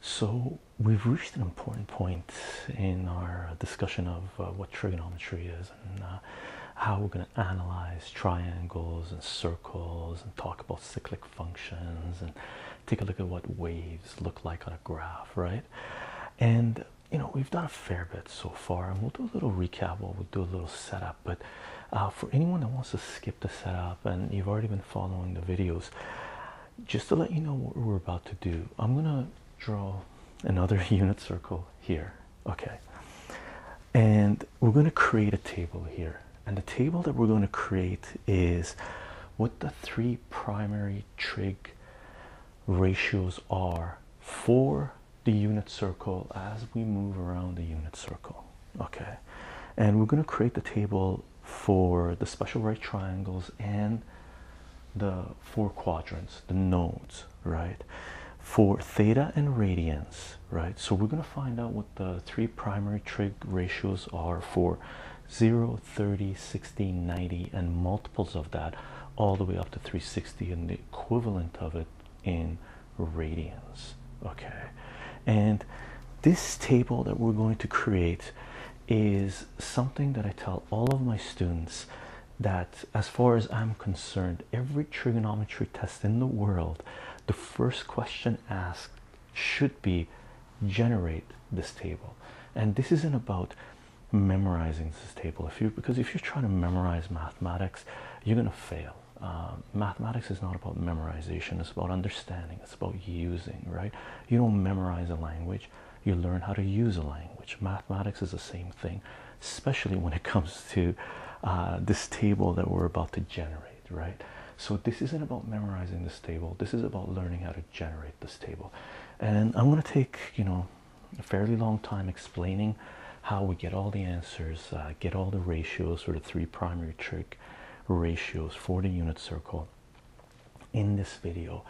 So we've reached an important point in our discussion of uh, what trigonometry is and uh, how we're going to analyze triangles and circles and talk about cyclic functions and take a look at what waves look like on a graph, right? And you know we've done a fair bit so far, and we'll do a little recap while we'll do a little setup. But uh, for anyone that wants to skip the setup and you've already been following the videos, just to let you know what we're about to do, I'm gonna draw another unit circle here, okay, and we're gonna create a table here. And the table that we're going to create is what the three primary trig ratios are for the unit circle as we move around the unit circle. Okay, and we're going to create the table for the special right triangles and the four quadrants, the nodes, right? For theta and radians, right? So we're going to find out what the three primary trig ratios are for 0, 30, 60, 90, and multiples of that all the way up to 360, and the equivalent of it in radians. Okay, and this table that we're going to create is something that I tell all of my students that, as far as I'm concerned, every trigonometry test in the world, the first question asked should be generate this table. And this isn't about memorizing this table if you because if you're trying to memorize mathematics you're going to fail um, mathematics is not about memorization it's about understanding it's about using right you don't memorize a language you learn how to use a language mathematics is the same thing especially when it comes to uh, this table that we're about to generate right so this isn't about memorizing this table this is about learning how to generate this table and i'm going to take you know a fairly long time explaining how we get all the answers, uh, get all the ratios for the three primary trig ratios for the unit circle in this video.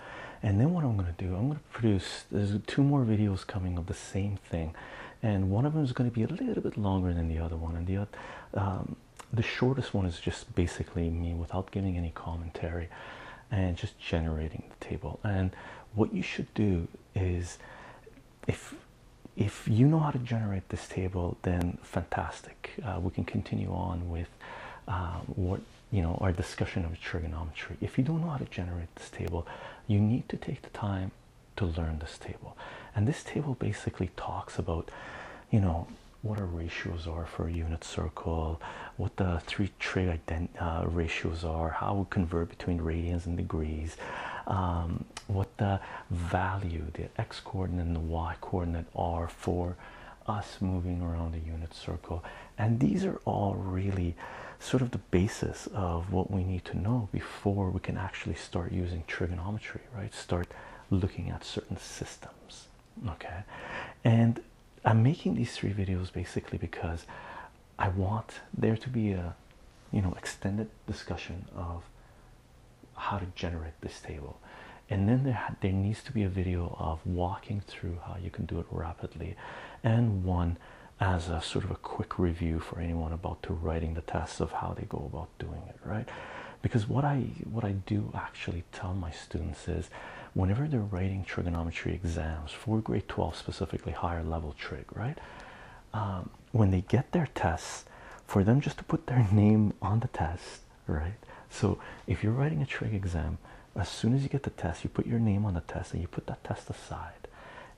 And then what I'm going to do, I'm going to produce there's two more videos coming of the same thing, and one of them is going to be a little bit longer than the other one, and the other. Um, the shortest one is just basically me without giving any commentary and just generating the table and what you should do is if if you know how to generate this table, then fantastic. Uh, we can continue on with uh, what you know our discussion of trigonometry. If you don't know how to generate this table, you need to take the time to learn this table. And this table basically talks about, you know, what our ratios are for a unit circle, what the three trig ident uh, ratios are, how we convert between radians and degrees, um, what the value, the x coordinate and the y coordinate are for us moving around the unit circle. And these are all really sort of the basis of what we need to know before we can actually start using trigonometry, right? Start looking at certain systems, okay? And I'm making these three videos basically because I want there to be a you know extended discussion of how to generate this table and then there there needs to be a video of walking through how you can do it rapidly and one as a sort of a quick review for anyone about to writing the tests of how they go about doing it right because what I what I do actually tell my students is whenever they're writing trigonometry exams for grade 12 specifically higher level trig right um, when they get their tests, for them just to put their name on the test, right? So if you're writing a trig exam, as soon as you get the test, you put your name on the test and you put that test aside.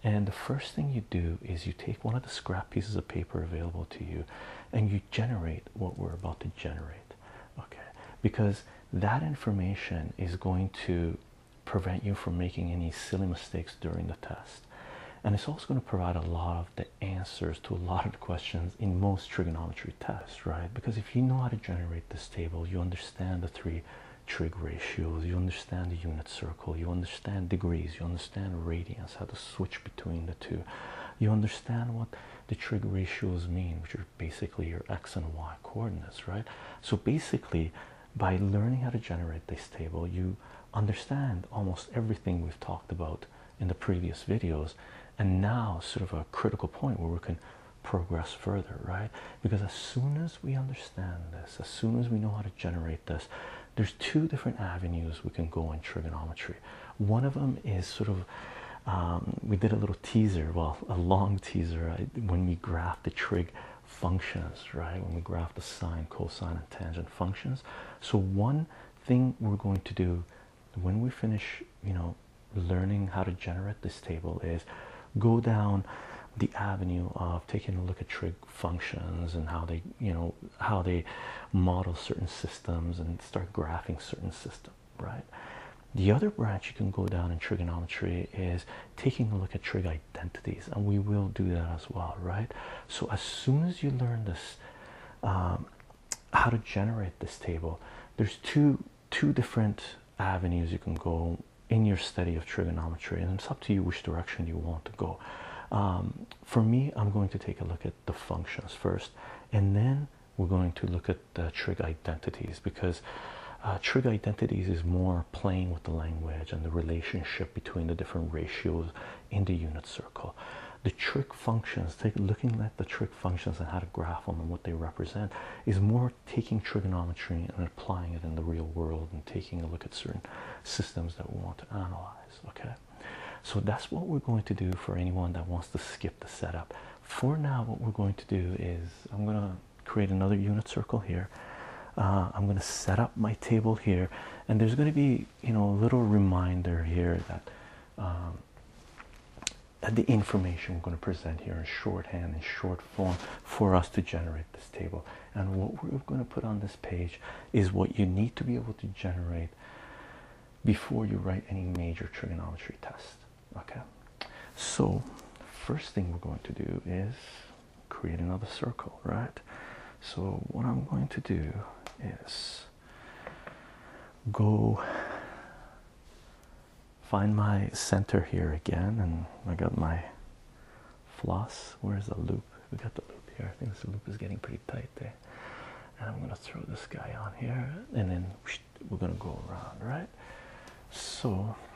And the first thing you do is you take one of the scrap pieces of paper available to you and you generate what we're about to generate, okay? Because that information is going to prevent you from making any silly mistakes during the test. And it's also going to provide a lot of the answers to a lot of the questions in most trigonometry tests, right? Because if you know how to generate this table, you understand the three trig ratios, you understand the unit circle, you understand degrees, you understand radians, how to switch between the two, you understand what the trig ratios mean, which are basically your x and y coordinates, right? So basically, by learning how to generate this table, you understand almost everything we've talked about in the previous videos, and now sort of a critical point where we can progress further, right? Because as soon as we understand this, as soon as we know how to generate this, there's two different avenues we can go in trigonometry. One of them is sort of um, we did a little teaser, well, a long teaser, uh, when we graphed the trig functions, right? When we graph the sine, cosine, and tangent functions. So one thing we're going to do when we finish, you know, learning how to generate this table is go down the avenue of taking a look at trig functions and how they, you know, how they model certain systems and start graphing certain systems, right? The other branch you can go down in trigonometry is taking a look at trig identities, and we will do that as well, right? So, as soon as you learn this, um, how to generate this table, there's two two different avenues you can go in your study of trigonometry, and it's up to you which direction you want to go. Um, for me, I'm going to take a look at the functions first, and then we're going to look at the trig identities because uh, trig identities is more playing with the language and the relationship between the different ratios in the unit circle. The trig functions, take, looking at the trig functions and how to graph them and what they represent, is more taking trigonometry and applying it in the real world and taking a look at certain systems that we want to analyze. Okay, so that's what we're going to do for anyone that wants to skip the setup. For now, what we're going to do is I'm going to create another unit circle here. Uh, I'm going to set up my table here, and there's going to be, you know, a little reminder here that, um, the information we're going to present here in shorthand in short form for us to generate this table. And what we're going to put on this page is what you need to be able to generate before you write any major trigonometry test. Okay, so first thing we're going to do is create another circle, right? So, what I'm going to do is go find my center here again, and I got my floss. Where's the loop? We got the loop here. I think this loop is getting pretty tight there. And I'm gonna throw this guy on here, and then we're gonna go around, right? So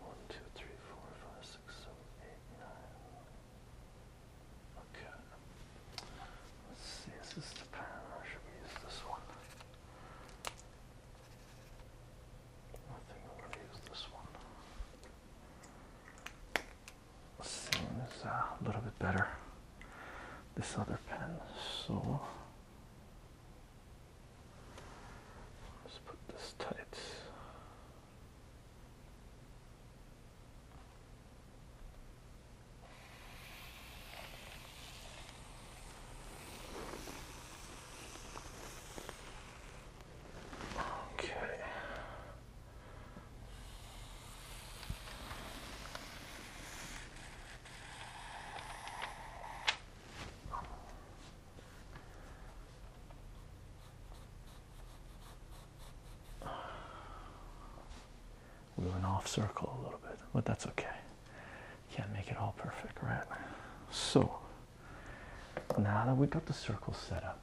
One, two, three, four, five, six, seven, eight, nine. Okay. Let's see, is this the pattern or should we use this one? I think I'm gonna use this one. Seems uh, a little bit better. This other pen, so Let's put this tight. Okay. We went off circle a little bit, but that's okay. Can't make it all perfect, right? So now that we got the circle set up,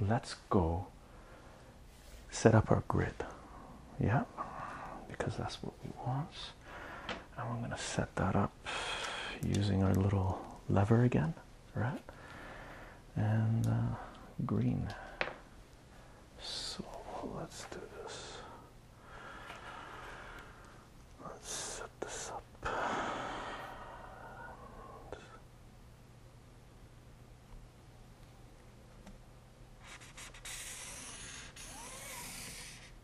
let's go set up our grid. Yeah, because that's what we want. I'm going to set that up using our little lever again, right? And uh, green. So let's do this. Let's set this up. Okay.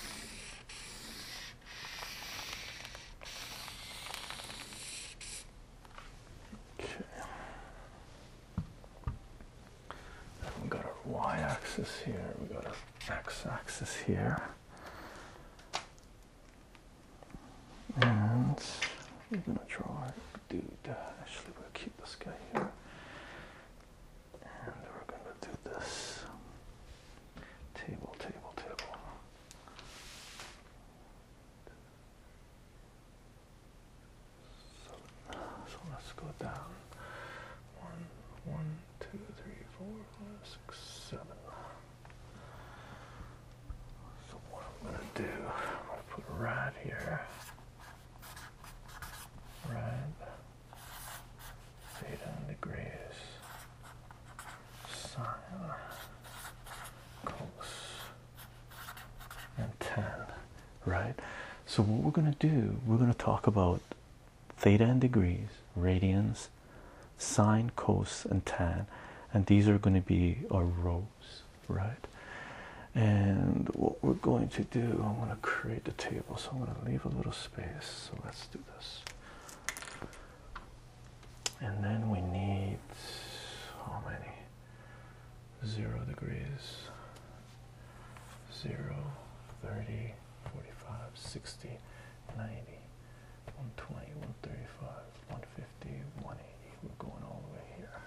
We got our y-axis here. We got our x-axis here. And we're gonna try do Actually, we'll keep this guy here. And we're gonna do this. Table, table, table. so let's go down. One, one, two, three, four, five, six, seven. So what I'm gonna do, I'm gonna put right here. Right. Theta degrees. Sine. Cos. And 10. Right? So what we're gonna do, we're gonna talk about theta and degrees, radians, sine, cos, and tan, and these are going to be our rows right? And what we're going to do, I'm going to create the table, so I'm going to leave a little space. So let's do this. And then we need how many? Zero degrees, zero, 30, 45, 60, 90, 120, 135, 150. 150, We're going all the way here.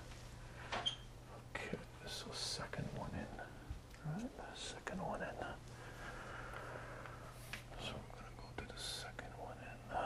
Okay, this was second one in. Alright, second one in. So I'm gonna go to the second one in. okay.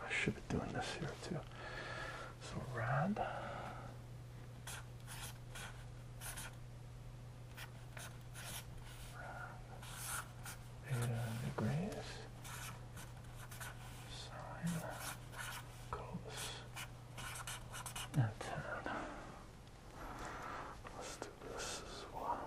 I should be doing this here too. So rad theta degrees sine cos and tan. Let's do this as well.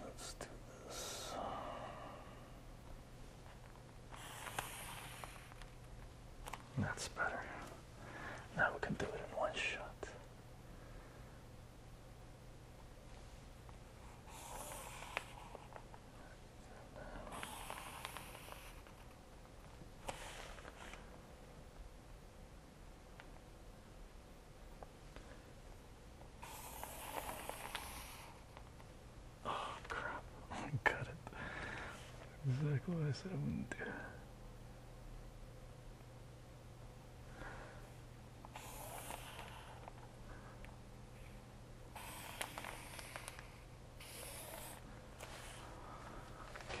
Let's do this. That's better. Now we can do it in one shot. Oh crap! I got it. Exactly what I said I wouldn't do.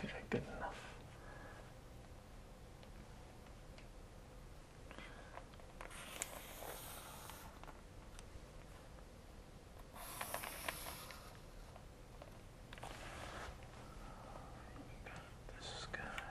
Okay, good enough. This guy.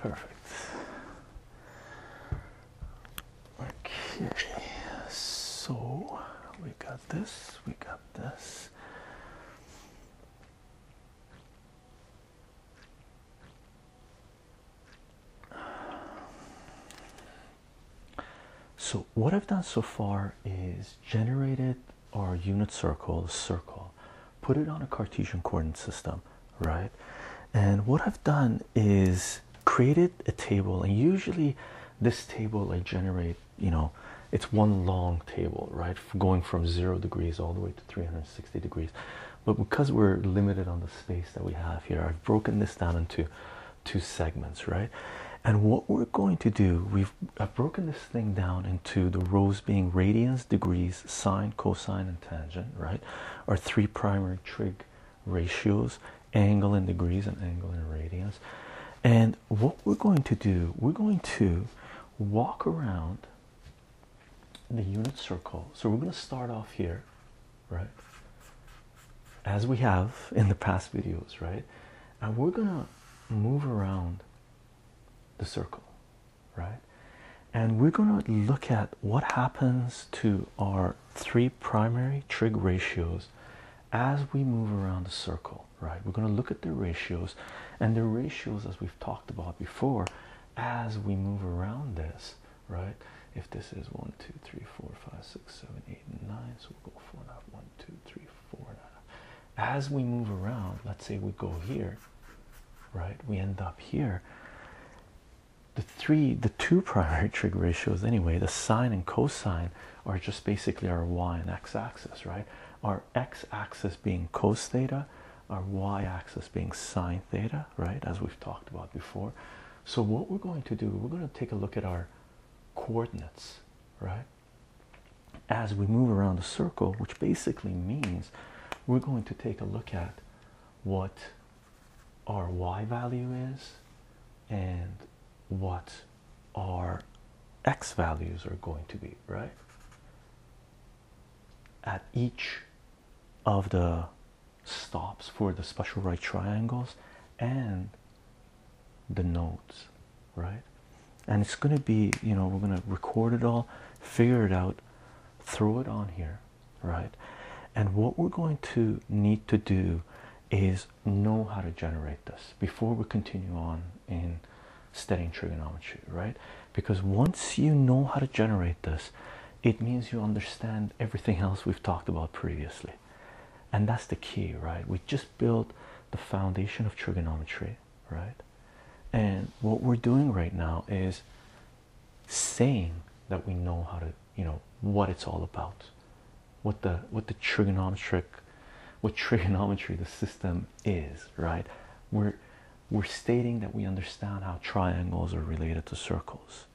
Perfect. Okay, so we got this, we got this. So, what I've done so far is generated our unit circle, circle, put it on a Cartesian coordinate system, right? And what I've done is created a table, and usually this table I generate, you know, it's one long table, right? Going from zero degrees all the way to 360 degrees. But because we're limited on the space that we have here, I've broken this down into two segments, right? And what we're going to do, we've I've broken this thing down into the rows being radians, degrees, sine, cosine, and tangent, right? Our three primary trig ratios, angle in degrees and angle in radians. And what we're going to do, we're going to walk around the unit circle. So we're going to start off here, right? As we have in the past videos, right? And we're going to move around the circle, right? And we're going to look at what happens to our three primary trig ratios as we move around the circle, right? We're going to look at the ratios, and the ratios, as we've talked about before, as we move around this, right? If this is one, two, three, four, five, six, seven, eight, and nine, so we'll go four four and a half, one, two, three, four and a half. As we move around, let's say we go here, right? We end up here. The three, the two primary trig ratios, anyway, the sine and cosine are just basically our y and x axis, right? Our x axis being cos theta, our y-axis being sine theta right as we've talked about before so what we're going to do we're going to take a look at our coordinates right as we move around the circle which basically means we're going to take a look at what our y value is and what our x values are going to be right at each of the stops for the special right triangles and the nodes right and it's going to be you know we're going to record it all figure it out throw it on here right and what we're going to need to do is know how to generate this before we continue on in studying trigonometry right because once you know how to generate this, it means you understand everything else we've talked about previously. And that's the key, right? We just built the foundation of trigonometry, right? And what we're doing right now is saying that we know how to, you know, what it's all about, what the what the trigonometric, what trigonometry the system is, right? We're we're stating that we understand how triangles are related to circles.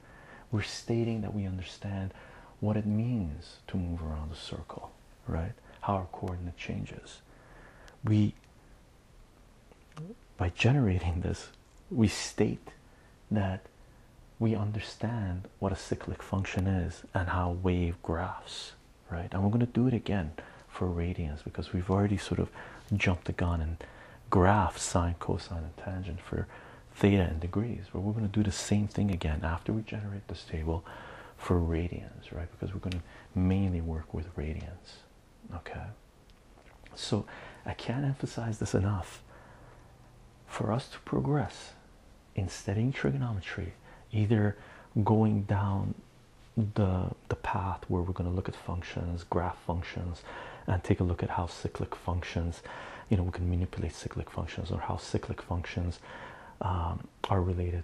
We're stating that we understand what it means to move around a circle, right? How our coordinate changes. We, by generating this, we state that we understand what a cyclic function is and how wave graphs, right? And we're going to do it again for radians because we've already sort of jumped the gun and graph sine, cosine, and tangent for theta in degrees. But we're going to do the same thing again after we generate this table for radians, right? Because we're going to mainly work with radians, okay? So I can't emphasize this enough. For us to progress in studying trigonometry, either going down the the path where we're going to look at functions, graph functions, and take a look at how cyclic functions, you know, we can manipulate cyclic functions or how cyclic functions um, are related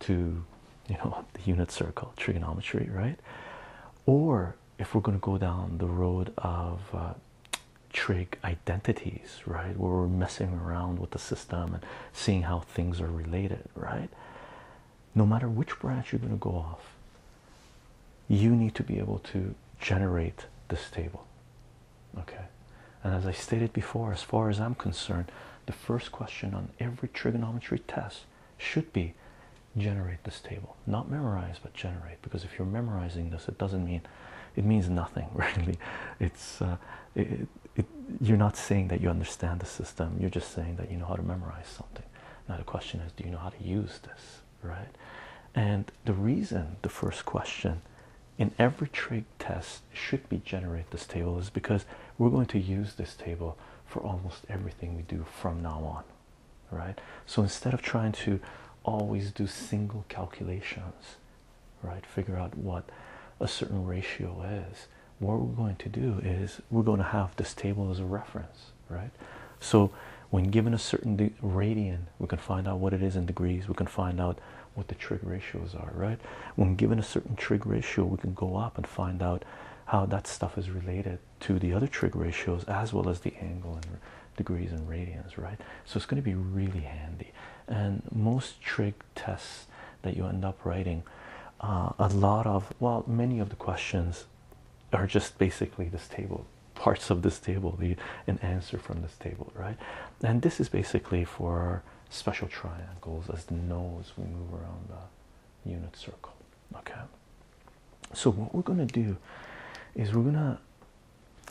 to, you know, the unit circle, trigonometry, right? Or if we're going to go down the road of uh, trig identities, right, where we're messing around with the system and seeing how things are related, right? no matter which branch you're going to go off, you need to be able to generate this table. Okay, and as I stated before, as far as I'm concerned, the first question on every trigonometry test should be generate this table, not memorize, but generate. Because if you're memorizing this, it doesn't mean it means nothing, really. It's uh, you're not saying that you understand the system, you're just saying that you know how to memorize something. Now, the question is, do you know how to use this, right? And the reason the first question in every trig test should be generate this table is because we're going to use this table for almost everything we do from now on, right? So instead of trying to always do single calculations, right, figure out what a certain ratio is, what we're going to do is we're going to have this table as a reference, right? So, when given a certain radian, we can find out what it is in degrees, we can find out what the trig ratios are, right? When given a certain trig ratio, we can go up and find out how that stuff is related to the other trig ratios as well as the angle and degrees and radians, right? So, it's going to be really handy. And most trig tests that you end up writing, uh, a lot of well, many of the questions are just basically this table, parts of this table, the, an answer from this table, right? And this is basically for special triangles as the nose we move around the unit circle, okay? So, what we're going to do is we're going to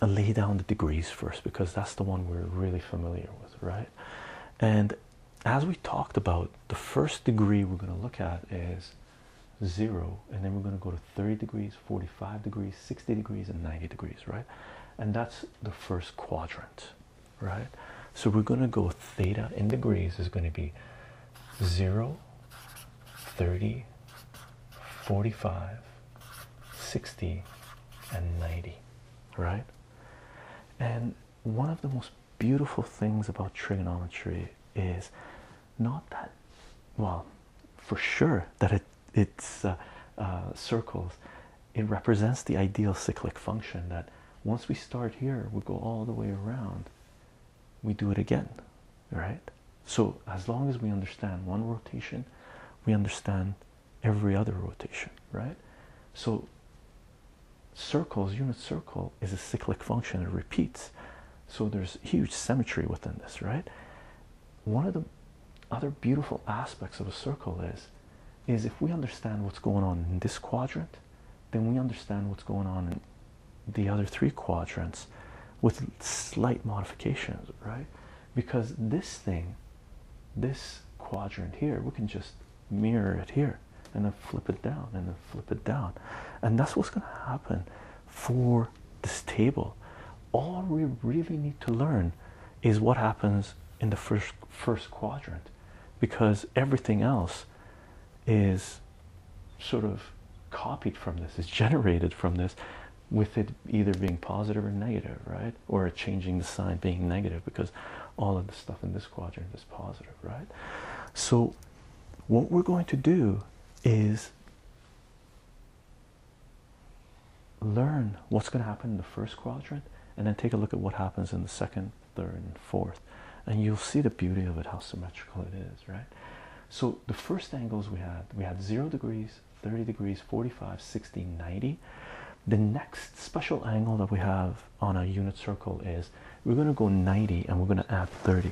lay down the degrees first because that's the one we're really familiar with, right? And as we talked about, the first degree we're going to look at is 0 and then we're going to go to 30 degrees 45 degrees 60 degrees and 90 degrees right and that's the first quadrant right so we're going to go theta in degrees is going to be 0 30 45 60 and 90 right and one of the most beautiful things about trigonometry is not that well for sure that it it's uh, uh, circles it represents the ideal cyclic function that once we start here we go all the way around we do it again right so as long as we understand one rotation we understand every other rotation right so circles unit circle is a cyclic function it repeats so there's huge symmetry within this, right? One of the other beautiful aspects of a circle is is if we understand what's going on in this quadrant, then we understand what's going on in the other three quadrants with slight modifications, right? Because this thing, this quadrant here, we can just mirror it here and then flip it down and then flip it down and that's what's going to happen for this table all we really need to learn is what happens in the first first quadrant because everything else is sort of copied from this is generated from this with it either being positive or negative right or changing the sign being negative because all of the stuff in this quadrant is positive right so what we're going to do is learn what's going to happen in the first quadrant and then take a look at what happens in the second, third, and fourth. And you'll see the beauty of it, how symmetrical it is, right? So the first angles we had, we had 0 degrees, 30 degrees, 45, 60, 90. The next special angle that we have on a unit circle is we're going to go 90 and we're going to add 30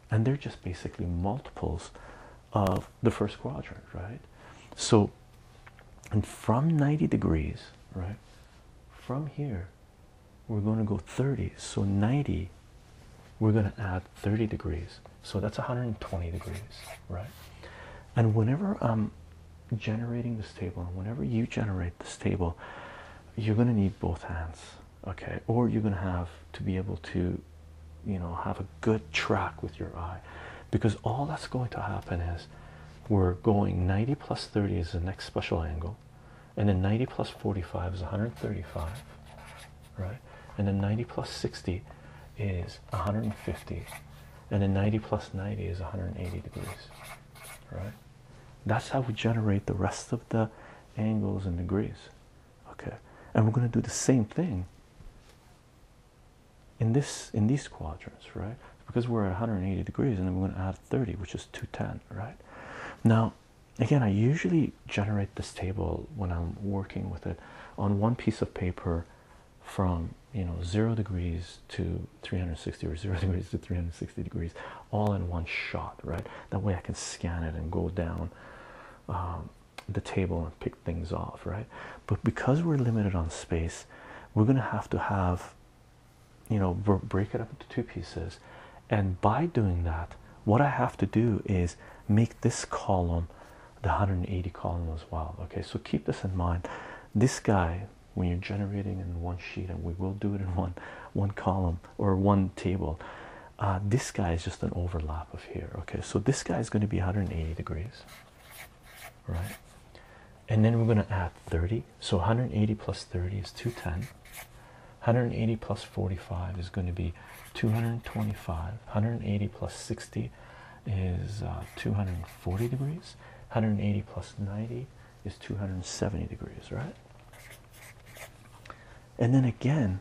and they're just basically multiples of the first quadrant, right? So, and from 90 degrees, right, from here, we're going to go 30. So, 90, we're going to add 30 degrees. So, that's 120 degrees, right? And whenever I'm generating this table, and whenever you generate this table, you're going to need both hands, okay or you're going to have to be able to you know have a good track with your eye because all that's going to happen is we're going 90 plus 30 is the next special angle and then 90 plus 45 is 135 right and then 90 plus 60 is 150 and then 90 plus 90 is 180 degrees right that's how we generate the rest of the angles and degrees okay and we're going to do the same thing in this in these quadrants right because we're at 180 degrees and then we're going to add 30 which is 210 right now again i usually generate this table when i'm working with it on one piece of paper from you know zero degrees to 360 or zero degrees to 360 degrees all in one shot right that way i can scan it and go down um, the table and pick things off, right? But because we're limited on space, we're going to have to have, you know, break it up into two pieces. And by doing that, what I have to do is make this column the 180 column as well. Okay, so keep this in mind. This guy, when you're generating in one sheet, and we will do it in one one column or one table, uh, this guy is just an overlap of here okay so this guy is going to be 180 degrees right and then we're going to add 30 so 180 plus 30 is 210 180 plus 45 is going to be 225 180 plus 60 is uh, 240 degrees 180 plus 90 is 270 degrees right and then again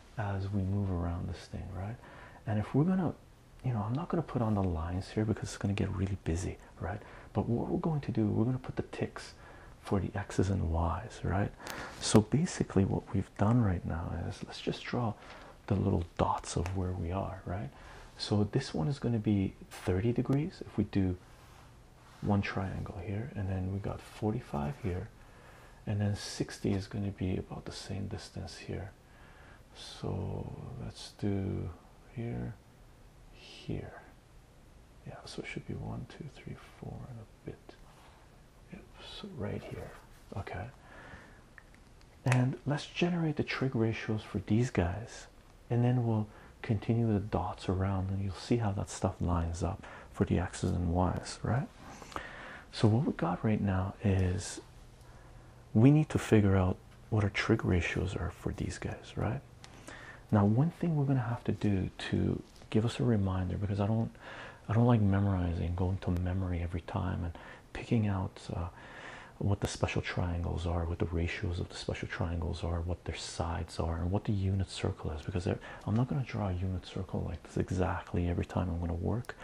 as we move around this thing, right? And if we're gonna, you know, I'm not gonna put on the lines here because it's gonna get really busy, right? But what we're going to do, we're gonna put the ticks for the x's and y's, right? So basically, what we've done right now is let's just draw the little dots of where we are, right? So this one is gonna be 30 degrees if we do one triangle here, and then we got 45 here, and then 60 is going to be about the same distance here so let's do here here yeah so it should be one two three four and a bit yep, right here okay and let's generate the trig ratios for these guys and then we'll continue the dots around and you'll see how that stuff lines up for the x's and y's right so, what we got right now is we need to figure out what our trig ratios are for these guys, right? Now, one thing we're going to have to do to give us a reminder because I don't. I don't like memorizing, going to memory every time and picking out uh, what the special triangles are, what the ratios of the special triangles are, what their sides are, and what the unit circle is because I'm not going to draw a unit circle like exactly every time i'm going to work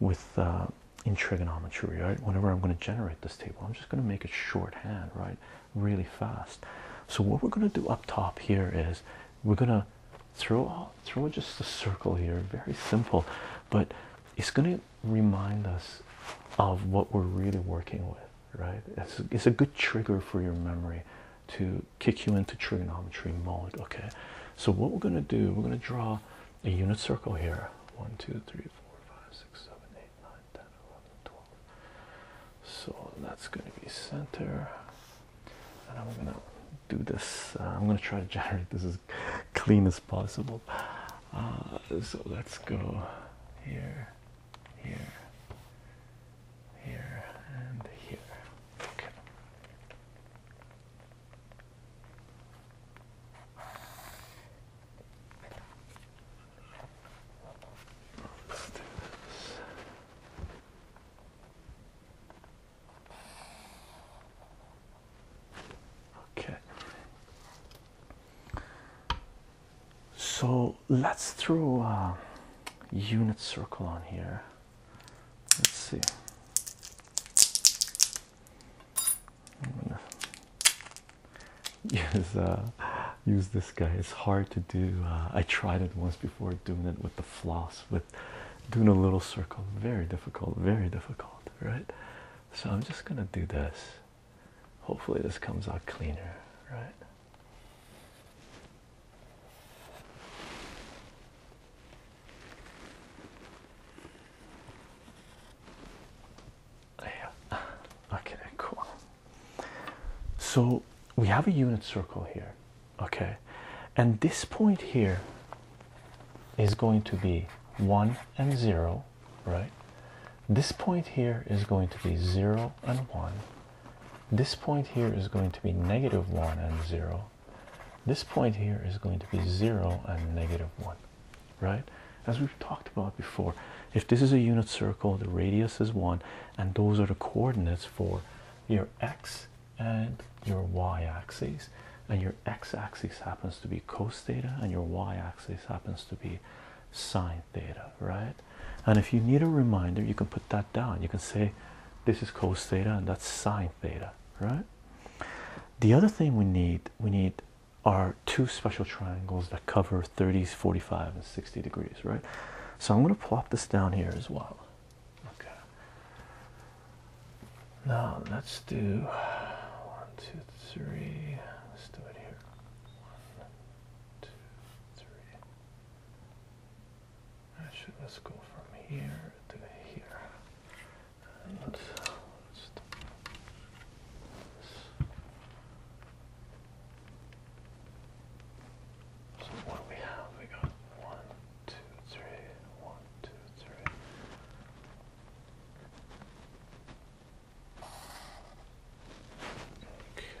with uh, trigonometry right whenever i'm going to generate this table i'm just going to make it shorthand right really fast so what we're going to do up top here is we're going to throw just a circle here very simple but it's going to remind us of what we're really working with right it's a good trigger for your memory to kick you into trigonometry mode okay so what we're going to do, we're going to draw a unit circle here. 1, 2, 3, 4, 5, 6, 7, 8, 9, 10, 11, 12. So that's going to be center. And I'm going to do this. Uh, I'm going to try to generate this as clean as possible. Uh, so let's go here, here, here, and here. Okay. Okay. So let's throw a unit circle on here. Let's see. I'm gonna use uh, use this guy. It's hard to do. Uh, I tried it once before doing it with the floss, with doing a little circle. Very difficult. Very difficult, right? So I'm just gonna do this. Hopefully this comes out cleaner, right? Yeah. Okay, cool. So we have a unit circle here, okay, and this point here is going to be one and zero, right? This point here is going to be zero and one. This point here is going to be negative one and zero. This point here is going to be 0 and negative 1, right? As we've talked about before, if this is a unit circle, the radius is 1, and those are the coordinates for your x and your y axes. And your x axis happens to be cos theta, and your y axis happens to be sine theta, right? And if you need a reminder, you can put that down. You can say this is cos theta and that's sine theta, right? the other thing we need we need are two special triangles that cover 30s 45 and 60 degrees right so i'm going to plop this down here as well okay now let's do one two three let's do it here one two three actually let's go from here to here let's, let so what do we have? We got one, two, three, one, two, three. Okay.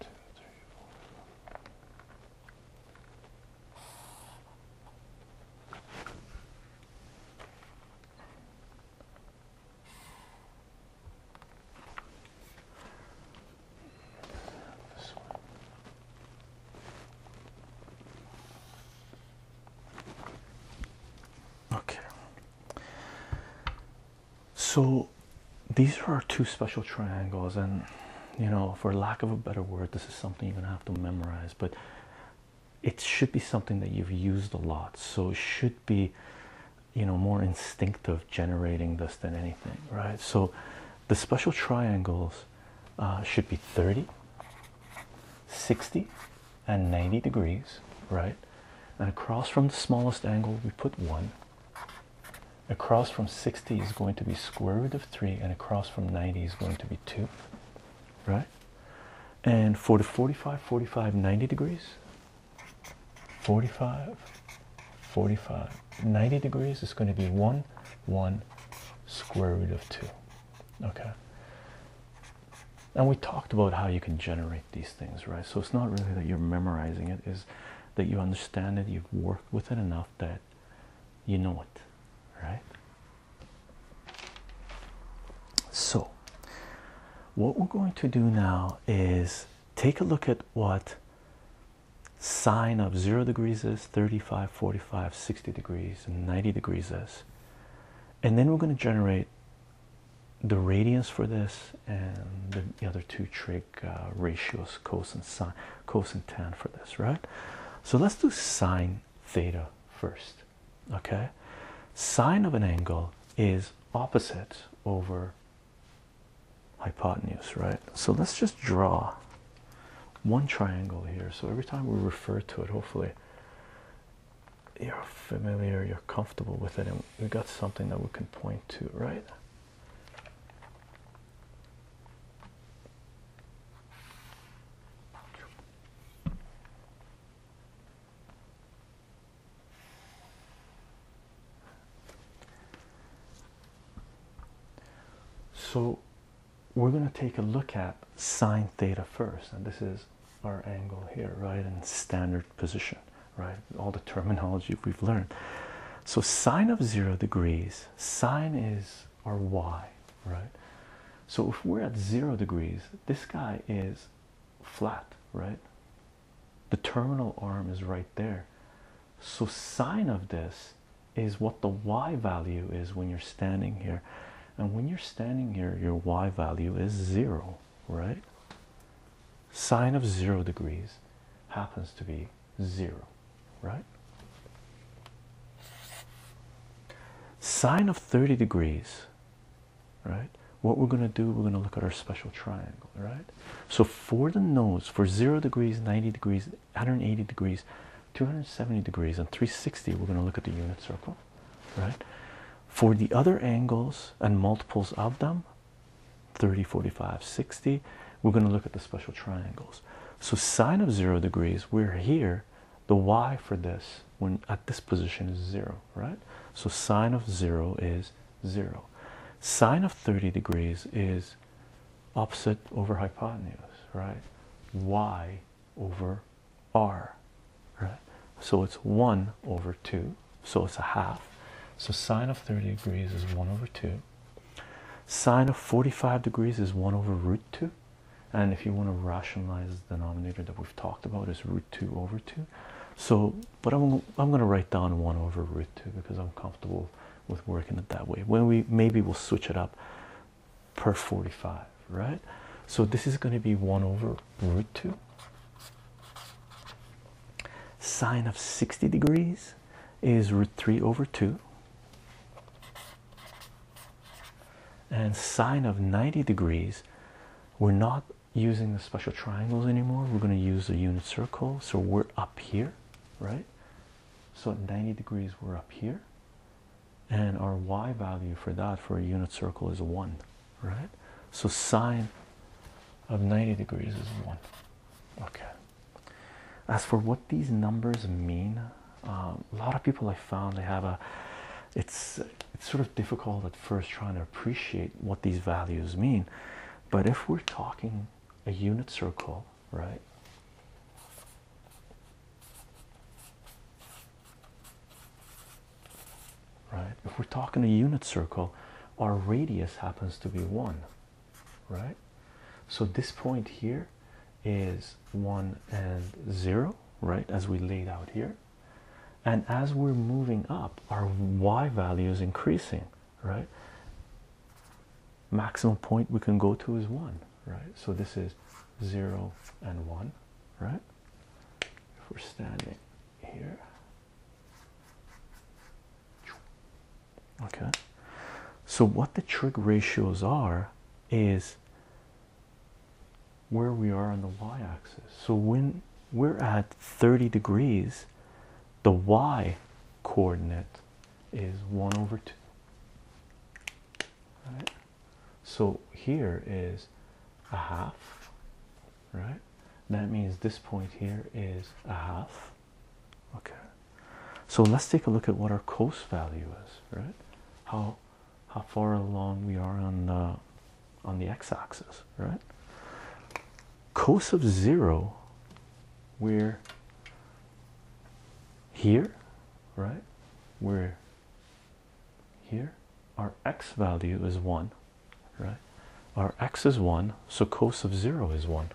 two, three, four. This one. Okay. So these are our two special triangles, and you know, for lack of a better word, this is something you're gonna have to memorize, but it should be something that you've used a lot, so it should be you know more instinctive generating this than anything, right? So the special triangles uh, should be 30, 60, and 90 degrees, right? And across from the smallest angle, we put one across from 60 is going to be square root of 3 and across from 90 is going to be 2 right and for the 45 45 90 degrees 45 45 90 degrees is going to be 1 1 square root of 2 okay and we talked about how you can generate these things right so it's not really that you're memorizing it is that you understand it you've worked with it enough that you know it right so what we're going to do now is take a look at what sine of 0 degrees is 35 45 60 degrees and 90 degrees is and then we're going to generate the radians for this and the other two trig uh, ratios cosine sine cosine tan for this, right? So let's do sine theta first, okay? Sine of an angle is opposite over hypotenuse, right? So let's just draw one triangle here. So every time we refer to it, hopefully you're familiar, you're comfortable with it, and we got something that we can point to, right? So we're going to take a look at sine theta first, and this is our angle here, right, in standard position, right? All the terminology we've learned. So sine of zero degrees sine is our y, right? So if we're at zero degrees, this guy is flat, right? The terminal arm is right there. So sine of this is what the y value is when you're standing here. And when you're standing here, your y value is zero, right? Sine of zero degrees happens to be zero, right? Sine of 30 degrees, right? What we're going to do, we're going to look at our special triangle, right? So for the nose, for 0 degrees, 90 degrees, 180 degrees, 270 degrees, and 360, we're going to look at the unit circle, right? For the other angles and multiples of them, 30, 45, 60, we're going to look at the special triangles. So sine of zero degrees, we're here. The y for this when at this position is zero, right? So sine of zero is zero. Sine of 30 degrees is opposite over hypotenuse, right? Y over R, right? So it's 1 over 2, so it's a half. So sine of 30 degrees is 1 over 2. Sine of 45 degrees is 1 over root 2. And if you want to rationalize the denominator that we've talked about is root 2 over 2. So, but I'm, I'm going to write down 1 over root 2 because I'm comfortable with working it that way. When we maybe we'll switch it up per 45, right? So this is going to be 1 over root 2. Sine of 60 degrees is root 3 over 2 and sine of 90 degrees we're not using the special triangles anymore we're going to use the unit circle so we're up here right so at 90 degrees we're up here and our y value for that for a unit circle is 1 right so sine of 90 degrees is 1 okay as for what these numbers mean, um, a lot of people I found they have a it's it's sort of difficult at first trying to appreciate what these values mean, but if we're talking a unit circle, right? Right, if we're talking a unit circle, our radius happens to be one, right? So this point here is 1 and 0, right? As we laid out here. And as we're moving up, our y value is increasing, right? Maximum point we can go to is 1, right? So this is 0 and 1, right? If we're standing here, okay so what the trig ratios are is where we are on the y-axis so when we're at 30 degrees the y coordinate is 1 over 2 so here is a half right that means this point here is a half okay so let's take a look at what our coast value is right how how far along we are on uh, on the x-axis right coast of zero we're here right we're here our x value is one right our x is one so cos of zero is one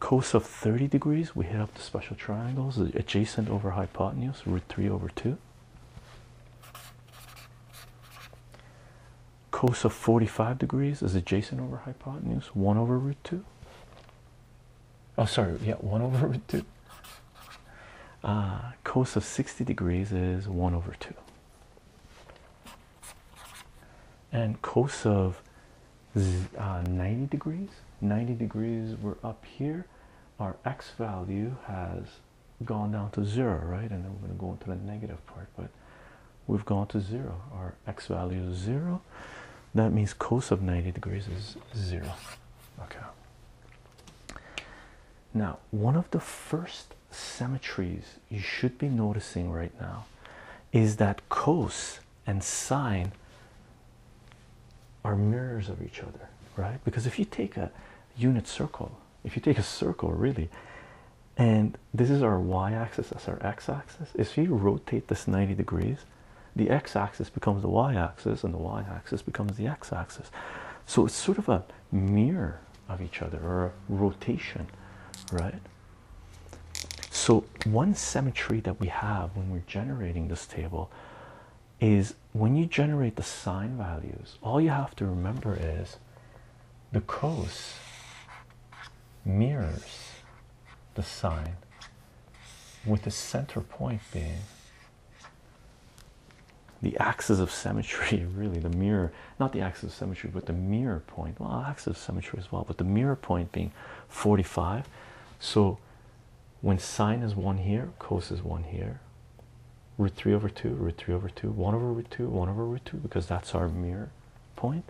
cos of 30 degrees, we hit up the special triangles adjacent over hypotenuse, root 3 over 2. Cos of 45 degrees is adjacent over hypotenuse, 1 over root 2. Oh, sorry, yeah, 1 over root 2. Uh, cos of 60 degrees is 1 over 2 and cos of uh, 90 degrees 90 degrees we're up here our x value has gone down to zero right and then we're going to go into the negative part but we've gone to zero our x value is zero that means cos of 90 degrees is zero okay now one of the first symmetries you should be noticing right now is that cos and sine are mirrors of each other, right? Because if you take a unit circle, if you take a circle really, and this is our y axis, that's our x axis. If you rotate this 90 degrees, the x axis becomes the y axis, and the y axis becomes the x axis. So it's sort of a mirror of each other or a rotation, right? So, one symmetry that we have when we're generating this table is when you generate the sine values, all you have to remember is the cos mirrors the sine, with the center point being the axis of symmetry, really, the mirror, not the axis of symmetry, but the mirror point. Well, axis of symmetry as well, but the mirror point being 45 so when sine is 1 here cos is 1 here root 3 over 2 root 3 over 2 1 over root 2 1 over root 2 because that's our mirror point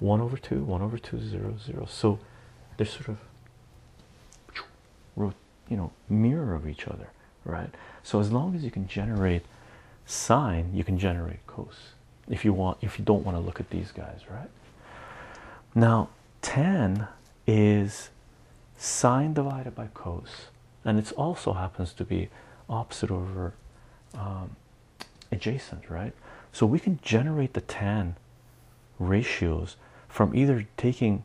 1 over 2 1 over 2 0 0 so they're sort of you know mirror of each other right so as long as you can generate sine you can generate cos if you want if you don't want to look at these guys right now tan is sine divided by cos and it also happens to be opposite over um, adjacent right so we can generate the tan ratios from either taking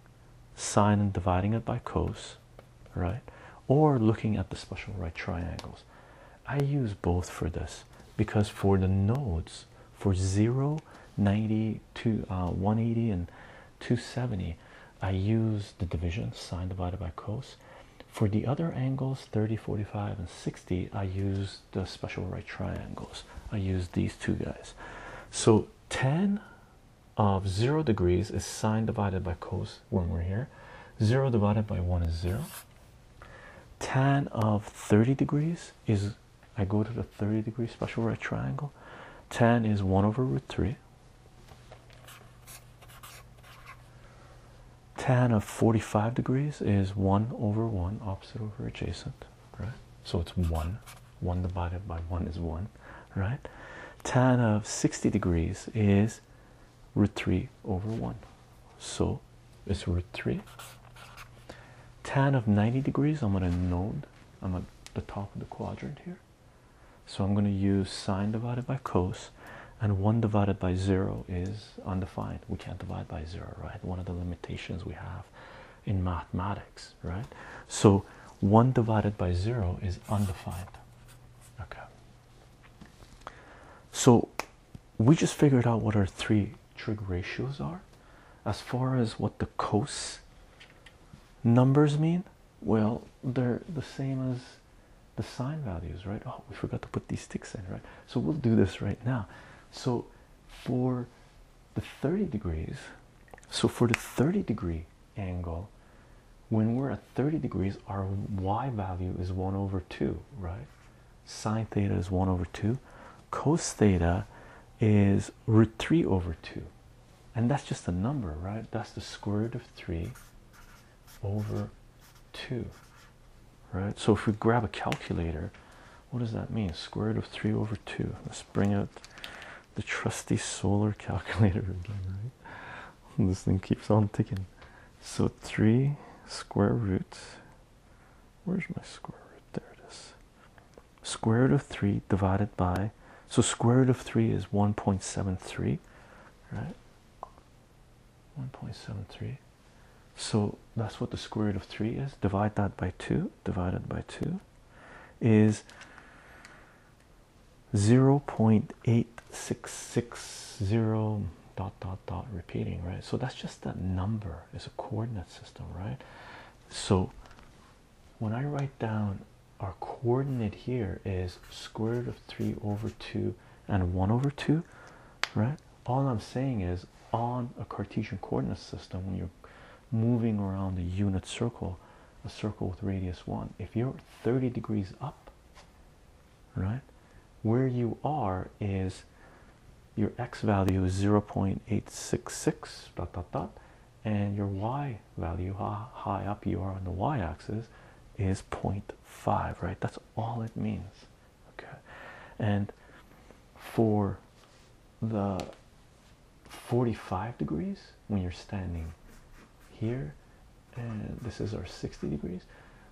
sine and dividing it by cos right or looking at the special right triangles I use both for this because for the nodes for 0, 90 to uh, 180 and 270, I use the division sine divided by cos. For the other angles 30, 45, and 60, I use the special right triangles. I use these two guys. So 10 of 0 degrees is sine divided by cos when we're here. 0 divided by 1 is 0 tan of 30 degrees is I go to the 30 degree special right triangle. Tan is 1 over root 3. Tan of 45 degrees is 1 over 1, opposite over adjacent, right? So it's 1. 1 divided by 1 is 1, right? Tan of 60 degrees is root 3 over 1. So it's root 3. Tan of 90 degrees, I'm going to node. I'm at the top of the quadrant here. So I'm going to use sine divided by cos, and 1 divided by 0 is undefined. We can't divide by 0, right? One of the limitations we have in mathematics, right? So 1 divided by 0 is undefined. Okay. So we just figured out what our three trig ratios are as far as what the cos numbers mean well they're the same as the sine values right oh we forgot to put these sticks in right so we'll do this right now so for the 30 degrees so for the 30 degree angle when we're at 30 degrees our y value is 1 over 2 right sine theta is 1 over 2 cos theta is root 3 over 2 and that's just a number right that's the square root of 3 over 2 right so if we grab a calculator what does that mean square root of 3 over 2 let's bring out the trusty solar calculator again right this thing keeps on ticking so 3 square root where's my square root? There it is. Square root of 3 divided by, so square root of 3 is 1.73, right? 1.73. So that's what the square root of 3 is. Divide that by 2, divided by 2 is 0.8660 dot dot dot repeating right so that's just that number is a coordinate system right so when i write down our coordinate here is square root of 3 over 2 and 1 over 2 right all i'm saying is on a cartesian coordinate system when you're moving around a unit circle a circle with radius 1 if you're 30 degrees up right? Where you are is your x value is 0.866 dot dot dot, and your y value, how high up you are on the y axis, is 0.5, right? That's all it means, okay? And for the 45 degrees when you're standing here and this is our 60 degrees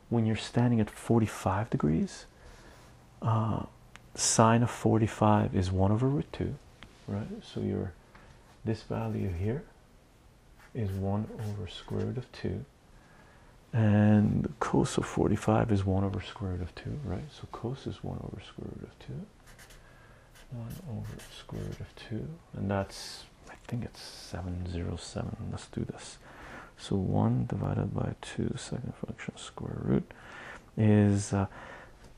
when you're standing at 45 degrees uh, sine of 45 is 1 over root 2 right so your this value here is 1 over square root of 2 and the cosine of 45 is 1 over square root of 2 right so cosine is 1 over square root of 2 1 over square root of 2 and that's I think it's 707 let's do this so 1 divided by 2 second function square root is uh,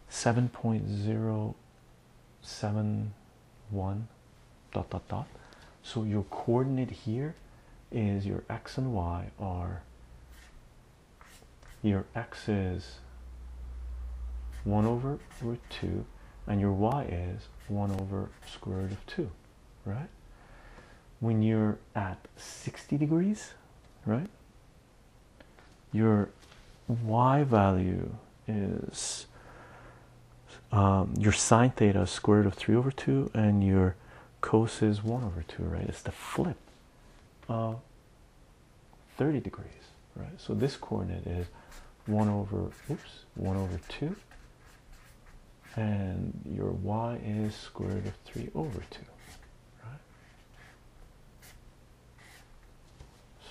7.071 dot dot dot. So your coordinate here is your x and y are your x is 1 over root 2 and your y is 1 over square root of 2 right? When you're at 60 degrees, right? Your y value is um, your sine theta is square root of 3 over 2, and your cos is 1 over 2, right? It's the flip of 30 degrees, right? So this coordinate is 1 over, oops, 1 over 2 and your y is square root of 3 over 2 right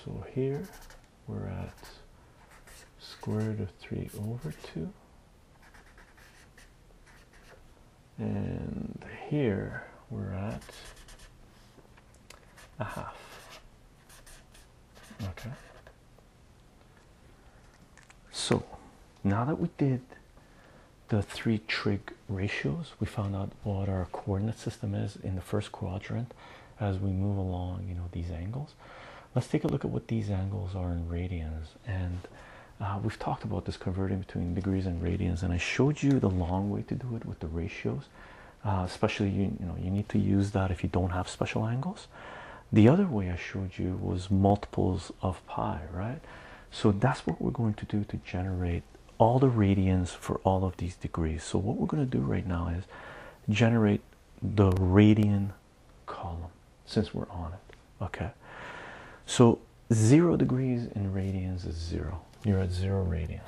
so here we're at square root of 3 over 2 and here we're at a half okay so now that we did the three trig ratios, we found out what our coordinate system is in the first quadrant as we move along, you know, these angles. Let's take a look at what these angles are in radians. And uh, we've talked about this converting between degrees and radians, and I showed you the long way to do it with the ratios. Uh, especially, you know, you need to use that if you don't have special angles. The other way I showed you was multiples of pi, right? So that's what we're going to do to generate all the radians for all of these degrees. So what we're going to do right now is generate the radian column since we're on it. Okay. So zero degrees in radians is zero. You're at zero radians.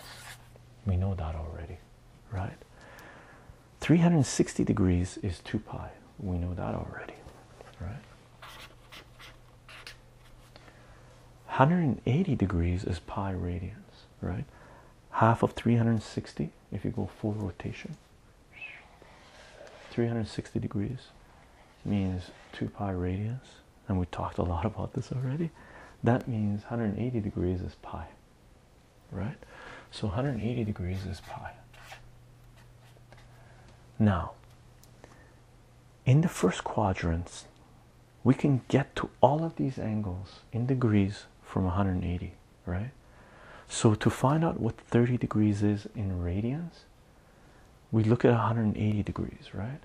We know that already, right? 360 degrees is 2 pi. We know that already, right? 180 degrees is pi radians, right? Half of 360 if you go full rotation. 360 degrees means 2 pi radians, and we talked a lot about this already. That means 180 degrees is pi, right? So 180 degrees is pi. Now, in the first quadrants, we can get to all of these angles in degrees from 180, right? So, to find out what 30 degrees is in radians, we look at 180 degrees, right?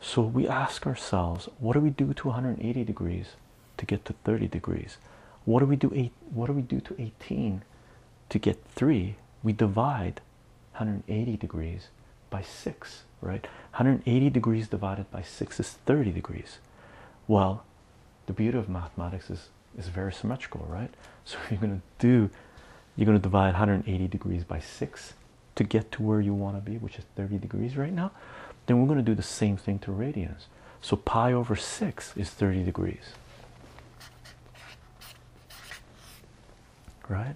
So, we ask ourselves, what do we do to 180 degrees to get to 30 degrees? What do we do? Eight, what do we do to 18 to get 3? We divide 180 degrees by 6, right? 180 degrees divided by 6 is 30 degrees. Well, the beauty of mathematics is is very symmetrical, right? So you're gonna do you're gonna divide 180 degrees by 6 to get to where you want to be, which is 30 degrees right now. Then we're gonna do the same thing to radians. So pi over 6 is 30 degrees right?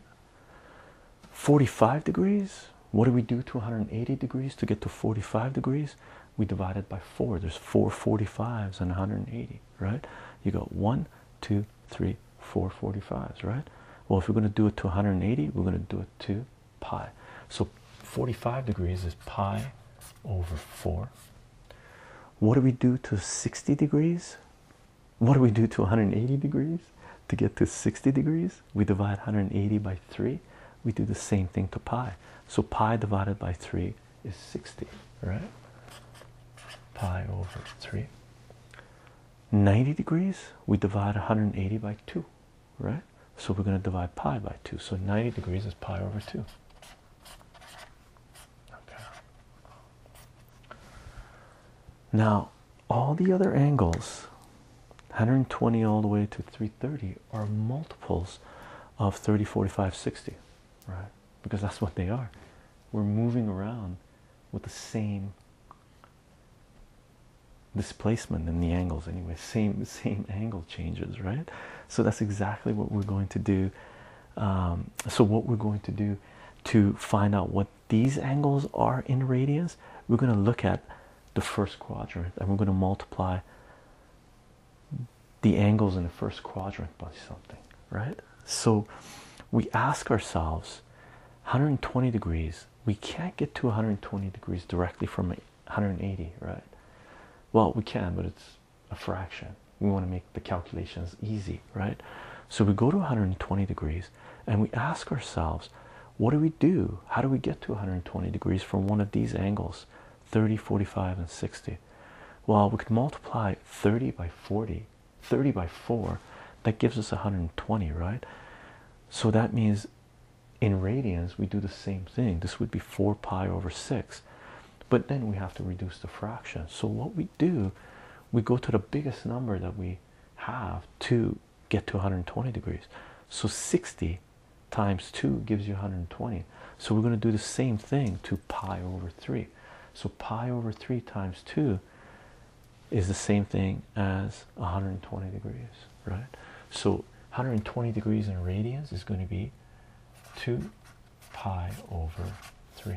45 degrees. What do we do to 180 degrees to get to 45 degrees? We divide it by four. There's four 45s and 180, right? You got one, two, three, four 45s, right? Well, if we're going to do it to 180, we're going to do it to pi. So 45 degrees is pi over 4. What do we do to 60 degrees? what do we do to 180 degrees to get to 60 degrees? We divide 180 by 3. We do the same thing to pi. So pi divided by 3 is 60, right? Pi over 3. 90 degrees, we divide 180 by 2, right? So we're going to divide pi by 2. So 90 degrees is pi over 2. Now, all the other angles, 120 all the way to 330, are multiples of 30, 45, 60, right? Because that's what they are. We're moving around with the same displacement in the angles anyway same same angle changes right so that's exactly what we're going to do um, so what we're going to do to find out what these angles are in radians, we're going to look at the first quadrant and we're going to multiply the angles in the first quadrant by something, right? So we ask ourselves 120 degrees, we can't get to 120 degrees directly from 180, right? Well, we can, but it's a fraction. We want to make the calculations easy, right? So we go to 120 degrees and we ask ourselves, what do we do? How do we get to 120 degrees from one of these angles, 30, 45, and 60? Well, we could multiply 30 by 40, 30 by 4, that gives us 120, right? So that means in radians, we do the same thing. This would be 4 pi over 6, but then we have to reduce the fraction. So what we do, we go to the biggest number that we have to get to 120 degrees. So 60 times 2 gives you 120. So we're going to do the same thing to pi over 3. So pi over 3 times 2 is the same thing as 120 degrees, right? So 120 degrees in radians is going to be 2 pi over 3.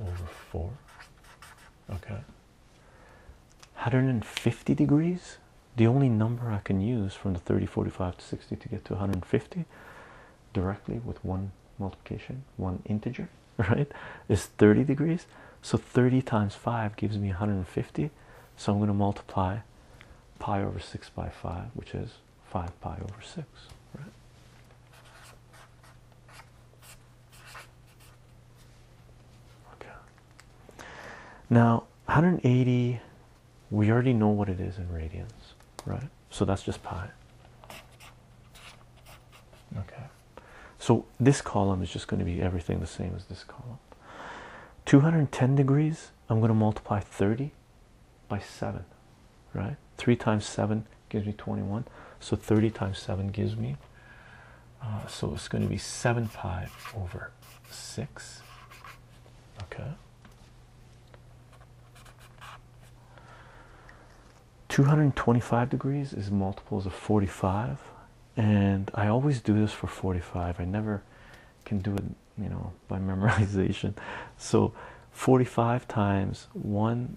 over 4 okay 150 degrees the only number I can use from the 30 45 to 60 to get to 150 directly with one multiplication one integer right is 30 degrees so 30 times 5 gives me 150 so I'm going to multiply pi over 6 by 5 which is 5 pi over 6 now 180, we already know what it is in radians, right? So that's just pi. Okay. So this column is just going to be everything the same as this column. 210 degrees, I'm going to multiply 30 by 7 right? 3 times 7 gives me 21. So 30 times 7 gives me, uh, so it's going to be 7 pi over 6. Okay. 225 degrees is multiples of 45 and I always do this for 45 I never can do it you know by memorization so 45 times 1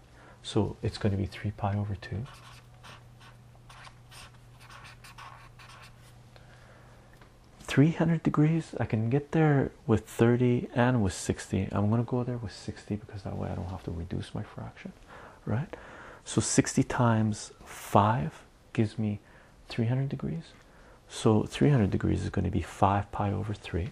So it's going to be 3 pi over 2. Three hundred degrees. I can get there with thirty and with sixty. I'm gonna go there with sixty because that way I don't have to reduce my fraction, right? So sixty times five gives me three hundred degrees. So three hundred degrees is going to be five pi over three.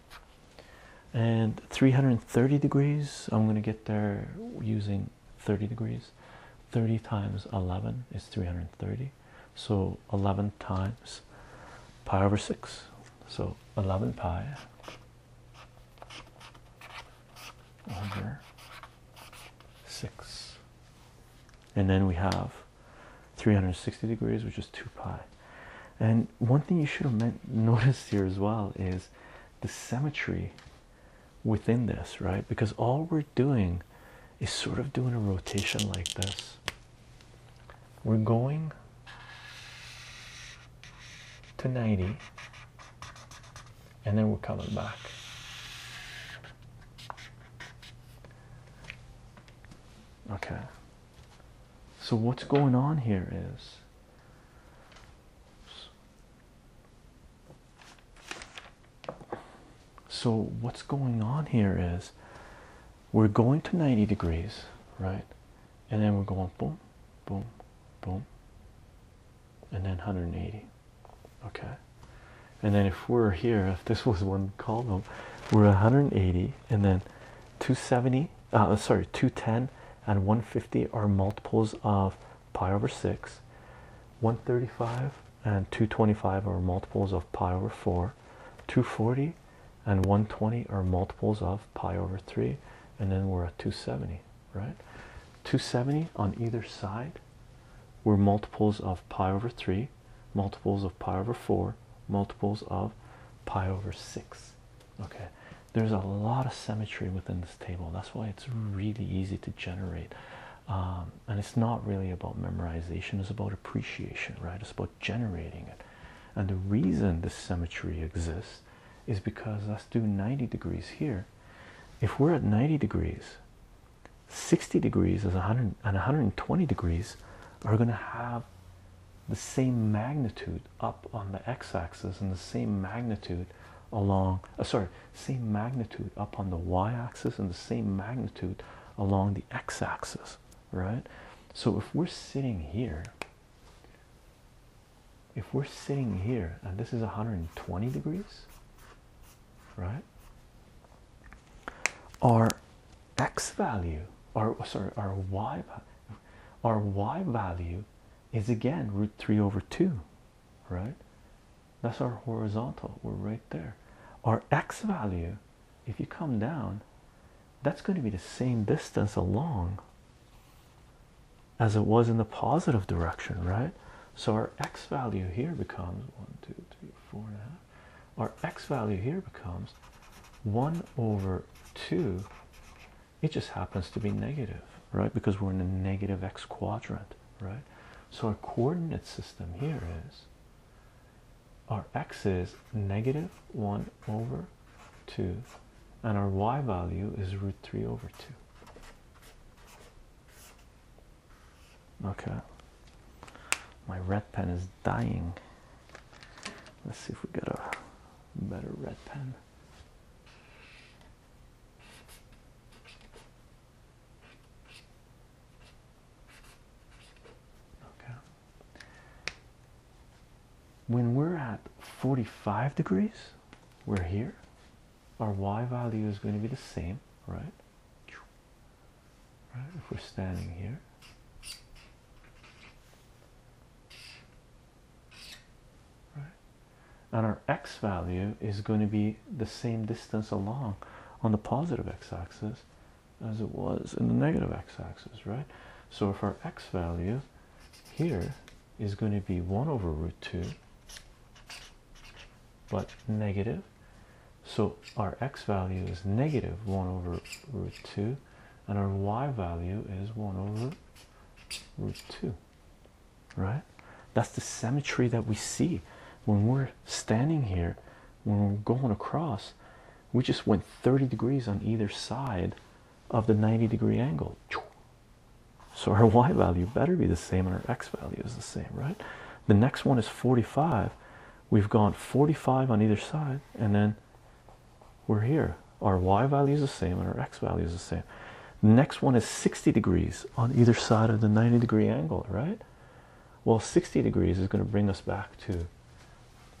and 330 degrees i'm going to get there using 30 degrees 30 times 11 is 330 so 11 times pi over 6 so 11 pi over 6 and then we have 360 degrees which is 2 pi and one thing you should have noticed here as well is the symmetry within this, right? Because all we're doing is sort of doing a rotation like this. We're going to 90 and then we're coming back. Okay. So what's going on here is so what's going on here is we're going to 90 degrees, right? And then we're going boom, boom, boom, and then 180. Okay. And then if we're here, if this was one column, we're 180 and then 270 uh, sorry 210 and 150 are multiples of pi over 6 135 and 225 are multiples of pi over 4 240 and 120 are multiples of pi over 3 and then we're at 270 right 270 on either side were multiples of pi over 3 multiples of pi over 4 multiples of pi over 6 Okay, there's a lot of symmetry within this table. That's why it's really easy to generate. Um, and it's not really about memorization, it's about appreciation, right? It's about generating it. And the reason this symmetry exists is because let's do 90 degrees here. If we're at 90 degrees, 60 degrees is 100 and 120 degrees are going to have the same magnitude up on the x-axis and the same magnitude along uh, sorry same magnitude up on the y-axis and the same magnitude along the x-axis right so if we're sitting here if we're sitting here and this is 120 degrees right our x value or sorry our y value our y value is again root 3 over 2 right that's our horizontal we're right there our x value if you come down that's going to be the same distance along as it was in the positive direction right so our x value here becomes one two three four and a half our x value here becomes 1 over 2 it just happens to be negative right because we're in the negative x quadrant right so our coordinate system here is our x is negative 1 over 2 and our y value is root 3 over 2 okay my red pen is dying let's see if we get a better red pen Okay. When we're at 45 degrees, we're here. Our y value is going to be the same, right? Right, if we're standing here. And our x value is going to be the same distance along on the positive x-axis as it was in the negative x-axis, right? So if our x value here is going to be 1 over root 2 but negative so our x value is negative 1 over root 2 and our y value is 1 over root 2 right that's the symmetry that we see when we're standing here when we're going across we just went 30 degrees on either side of the 90 degree angle so our y value better be the same and our x value is the same right the next one is 45 we've gone 45 on either side and then we're here. Our y value is the same and our x value is the same. Next one is 60 degrees on either side of the 90 degree angle, right? Well, 60 degrees is going to bring us back to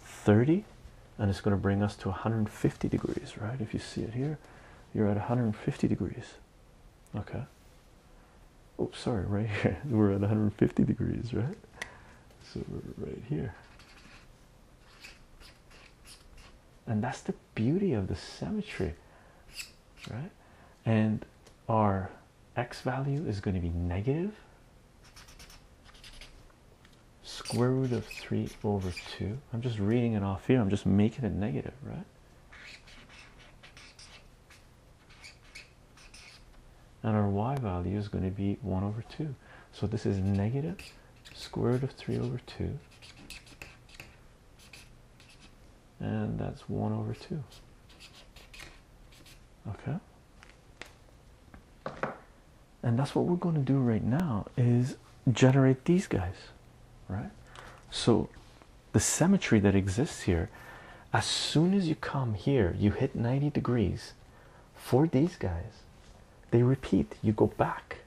30 and it's going to bring us to 150 degrees, right? If you see it here, you're at 150 degrees, okay? Oh, sorry, right here. We're at 150 degrees, right? So we're right here and that's the beauty of the symmetry right and our x value is going to be negative square root of 3 over 2 i'm just reading it off here i'm just making it negative right and our y value is going to be 1 over 2 so this is negative square root of 3 over 2 and that's 1 over 2 okay and that's what we're going to do right now is generate these guys right so the symmetry that exists here as soon as you come here you hit 90 degrees for these guys they repeat you go back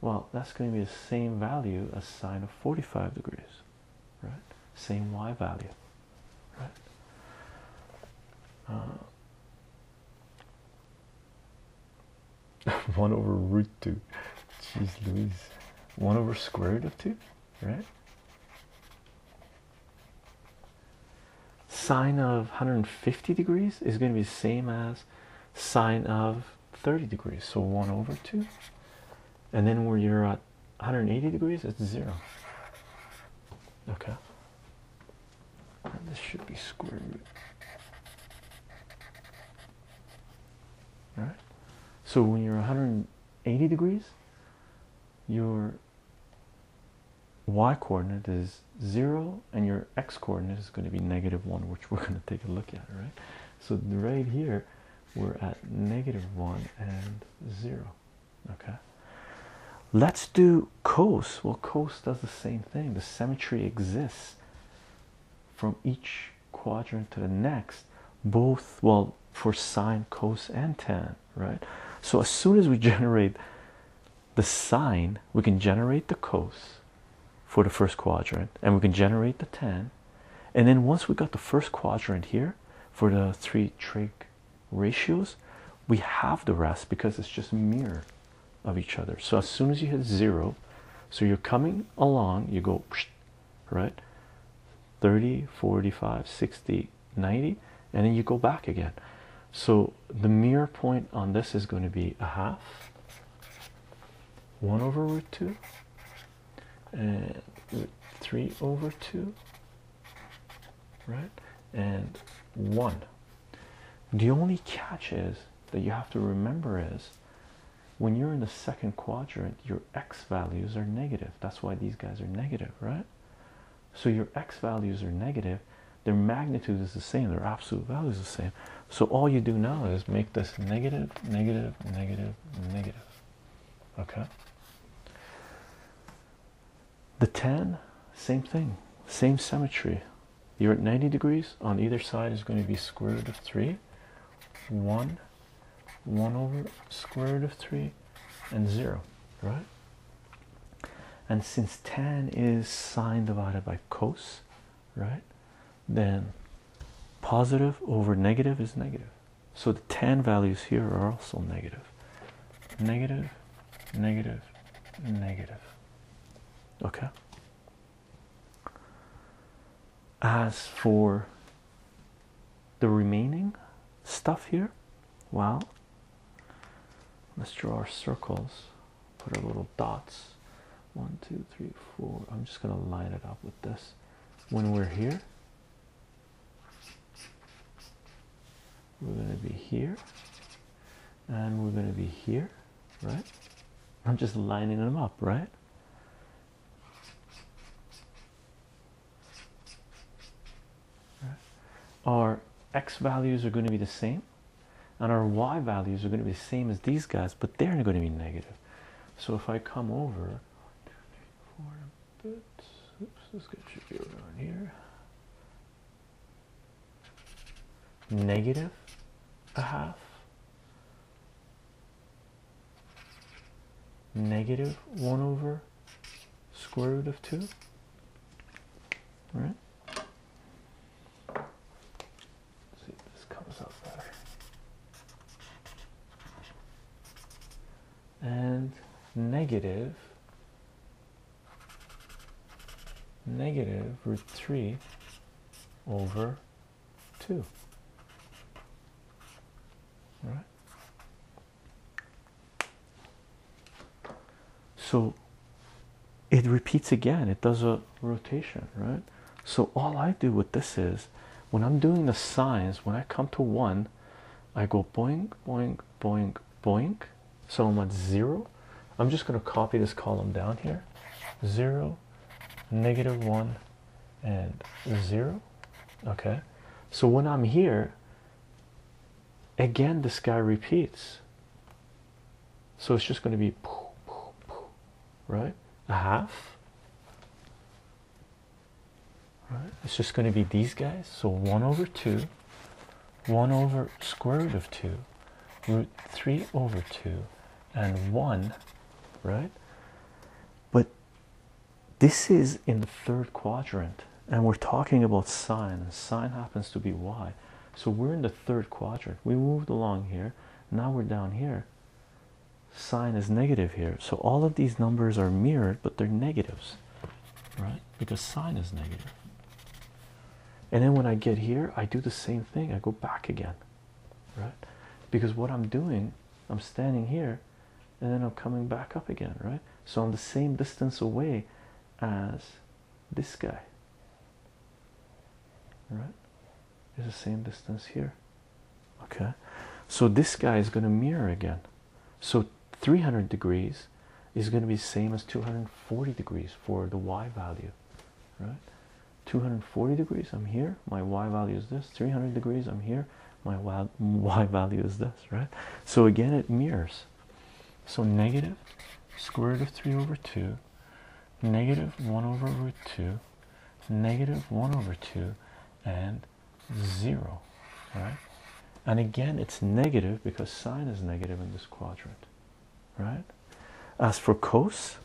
well that's going to be the same value as sine of 45 degrees right same y value right uh, 1 over root 2 jeez louise 1 over square root of 2 right sine of 150 degrees is going to be the same as sine of 30 degrees so 1 over 2 and then where you're at 180 degrees it's 0 okay this should be square root all right so when you're 180 degrees your y coordinate is 0 and your x coordinate is going to be negative 1 which we're going to take a look at right so right here we're at negative one and zero. Okay, let's do cos. Well, cos does the same thing, the symmetry exists from each quadrant to the next, both well for sine, cos, and tan, right? So, as soon as we generate the sine, we can generate the cos, for the first quadrant and we can generate the 10 and then once we got the first quadrant here for the three trig ratios we have the rest because it's just mirror of each other so as soon as you hit zero so you're coming along you go right 30 45 60 90 and then you go back again so the mirror point on this is going to be a half 1 over root 2 and 3 over 2 right and 1 the only catch is that you have to remember is when you're in the second quadrant your x values are negative that's why these guys are negative right so your x values are negative their magnitude is the same their absolute value is the same so all you do now is make this negative negative negative negative. Okay. The 10, same thing, same symmetry. You're at 90 degrees on either side is going to be square root of 3, 1, 1 over square root of 3, and 0, right? And since tan is sine divided by cos, right? then positive over negative is negative. So the tan values here are also negative. Okay. As for the remaining stuff here, well, let's draw our circles, put our little dots one two three four i'm just going to line it up with this when we're here we're going to be here and we're going to be here right i'm just lining them up right our x values are going to be the same and our y values are going to be the same as these guys but they're going to be negative so if I come over four a bit. Oops, this guy should be around here. Negative a half. Negative 1 over square root of 2. All right? Let's see if this comes up better. And negative negative root 3 over 2. All right? So it repeats again. It does a rotation, right? So all I do with this is when I'm doing the signs, when I come to one, I go boink, boink, boink, boink. So I'm at zero. I'm just going to copy this column down here. Zero, negative one, and zero. Okay. So when I'm here, again, this guy repeats. So it's just going to be, poof, poof, poof, right? A half, it's just going to be these guys so 1 over 2 1 over square root of 2 root 3 over 2 and 1 right but this is in the third quadrant and we're talking about sine and sine happens to be y so we're in the third quadrant we moved along here now we're down here sign is negative here so all of these numbers are mirrored but they're negatives right because sine is negative and then when i get here i do the same thing i go back again right because what i'm doing i'm standing here and then i'm coming back up again right so i'm the same distance away as this guy right it's the same distance here okay so this guy is going to mirror again so 300 degrees is going to be same as 240 degrees for the y value right 240 degrees i'm here my y value is this 300 degrees i'm here my y value is this right so again it mirrors so negative square root of 3 over 2 negative 1 over root 2 negative 1 over 2 and 0 right and again it's negative because sine is negative in this quadrant right as for cos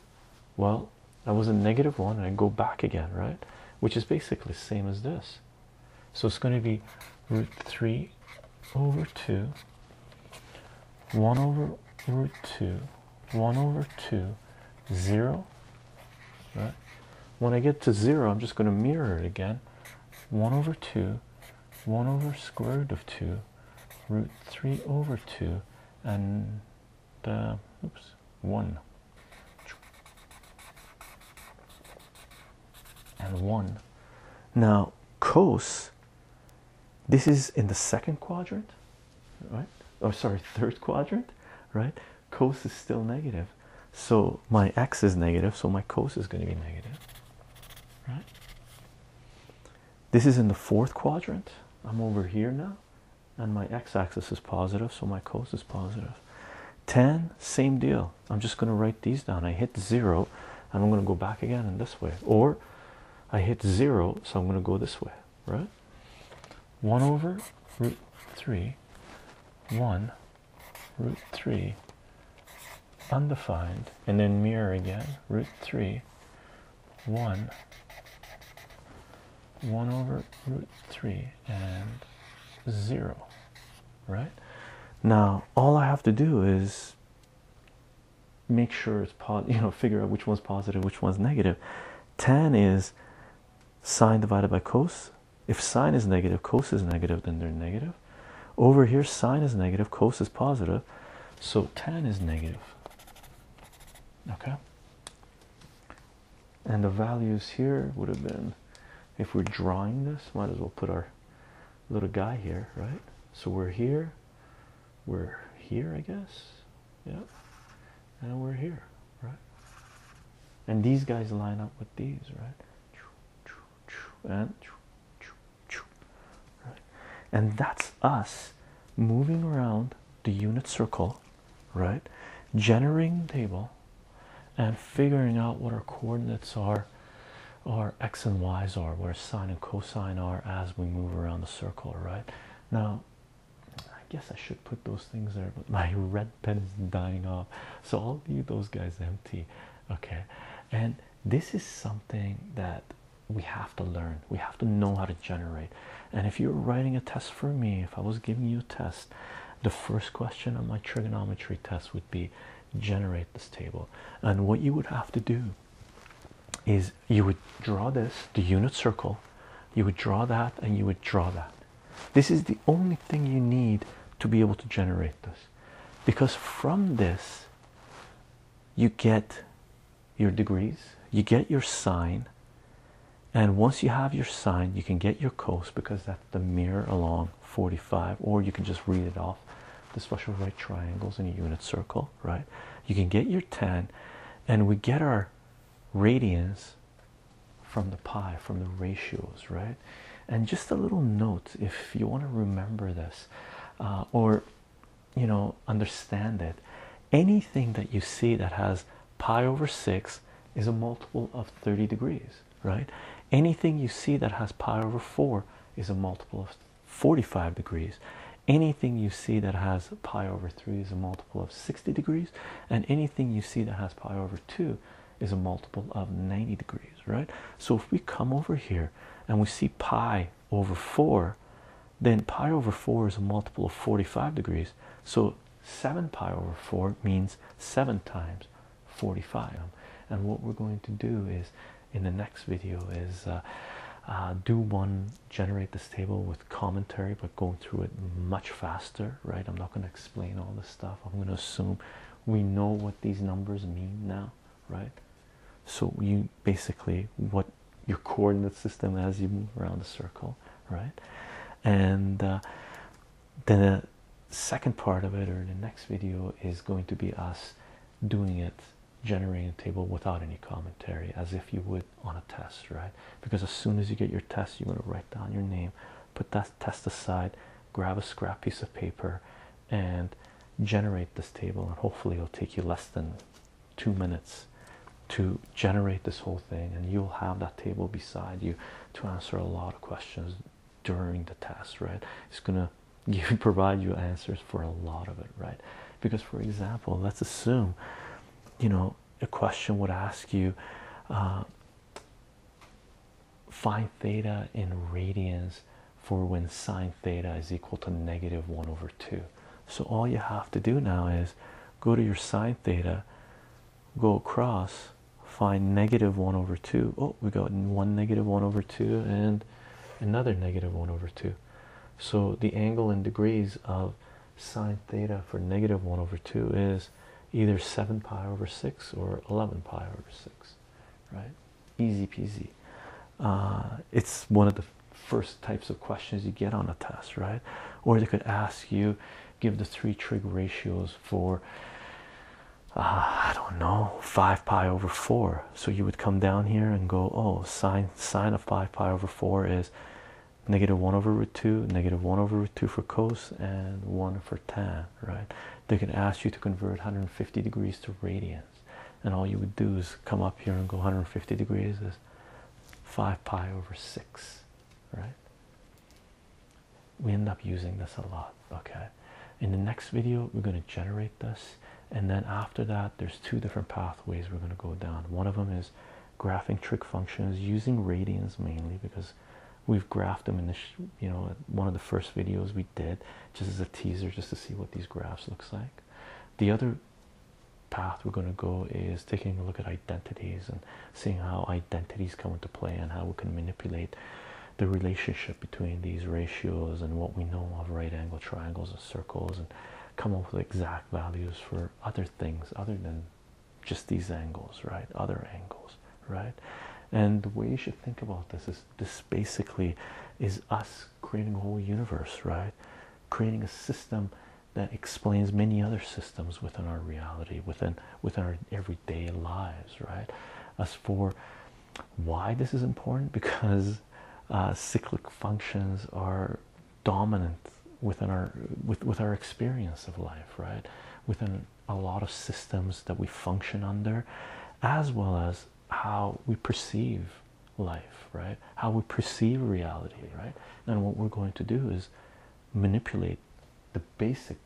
well that was a negative one and I go back again right which is basically same as this so it's going to be root 3 over 2 1 over root 2 1 over 2, 0. Right? When I get to 0, I'm just going to mirror it again. 1 over 2, 1 over square root of 2, root 3 over 2, and uh, oops, 1. And 1. Now, cos, this is in the second quadrant, right or oh, sorry third quadrant right cos is still negative so my x is negative so my cos is going to be negative right this is in the fourth quadrant i'm over here now and my x-axis is positive so my cos is positive 10 same deal i'm just going to write these down i hit zero and i'm going to go back again in this way or i hit zero so i'm going to go this way right 1 over root 3, 1 root 3 undefined, and then mirror again, root 3, 1, 1 over root 3, and 0, right? Now, all I have to do is make sure it's, po you know, figure out which one's positive, which one's negative. Tan is sine divided by cos. If sine is negative, cos is negative, then they're negative. Over here, sine is negative, cos is positive, so tan is negative. Okay, and the values here would have been if we're drawing this, might as well put our little guy here, right? So we're here, we're here, I guess. Yeah, and we're here, right? And these guys line up with these, right? And And that's us moving around the unit circle, right? Generating table and figuring out what our coordinates are, our x and y's are, where sine and cosine are as we move around the circle, right? Now I guess I should put those things there, but my red pen is dying off, so I'll leave those guys empty. Okay, and this is something that we have to learn, we have to know how to generate. And if you were writing a test for me, if I was giving you a test, the first question on my trigonometry test would be generate this table. And what you would have to do is you would draw this, the unit circle, you would draw that, and you would draw that. This is the only thing you need to be able to generate this because from this you get your degrees, you get your sine, and once you have your sine, you can get your coast because that's the mirror along 45, or you can just read it off the special right triangles in a unit circle, right? You can get your tan, and we get our radians from the pi, from the ratios right and just a little note if you want to remember this uh, or you know understand it anything that you see that has pi over 6 is a multiple of 30 degrees right anything you see that has pi over 4 is a multiple of 45 degrees anything you see that has pi over 3 is a multiple of 60 degrees and anything Thing you see that has pi over 2 is a multiple of 90 degrees, right? So if we come over here and we see pi over 4, then pi over 4 is a multiple of 45 degrees. So 7 pi over 4 means 7 times 45. And what we're going to do is in the next video is uh, uh, do one, generate this table with commentary but going through it much faster right i'm not going to explain all this stuff i'm going to assume we know what these numbers mean now right so you basically what your coordinate system as you move around the circle right and uh, then the second part of it or the next video is going to be us doing it generating a table without any commentary as if you would on a test, right? Because as soon as you get your test, you're going to write down your name, put that test aside, grab a scrap piece of paper, and generate this table. And hopefully, it'll take you less than two minutes to generate this whole thing. And you'll have that table beside you to answer a lot of questions during the test, right? It's going to give provide you answers for a lot of it, right? Because, for example, let's assume you know know a question would ask you uh, find theta in radians for when sine theta is equal to negative 1 over 2 so all you have to do now is go to your sine theta go across find negative 1 over 2 oh we got one negative 1 over 2 and another negative 1 over 2 so the angle in degrees of sine theta for negative 1 over 2 is either 7 pi over 6 or 11 pi over 6 right easy peasy uh, it's one of the first types of questions you get on a test right or they could ask you give the three trig ratios for uh, i don't know 5 pi over 4 so you would come down here and go oh sine sine of 5 pi over 4 is negative 1 over root 2, negative 1 over root 2 for cos, and 1 for tan, right? They could ask you to convert 150 degrees to radians, and all you would do is come up here and go 150 degrees is 5 pi over 6, right? We end up using this a lot, okay? In the next video, we're going to generate this, and then after that, there's two different pathways we're going to go down. One of them is graphing trick functions using radians mainly because we've graphed them in the you know one of the first videos we did just as a teaser just to see what these graphs looks like the other path we're going to go is taking a look at identities and seeing how identities come into play and how we can manipulate the relationship between these ratios and what we know of right angle triangles and circles and come up with exact values for other things other than just these angles, right? Other angles, right? And the way you should think about this is this basically is us creating a whole universe, right? Creating a system that explains many other systems within our reality, within within our everyday lives, right? As for why this is important, because uh, cyclic functions are dominant within our with with our experience of life right within a lot of systems that we function under as well as how we perceive life right how we perceive reality right and what we're going to do is manipulate the basic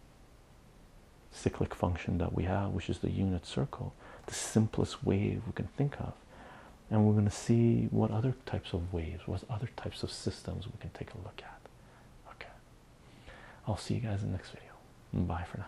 cyclic function that we have which is the unit circle the simplest wave we can think of and we're going to see what other types of waves what other types of systems we can take a look at Okay, I'll see you guys in the next video. Bye for now.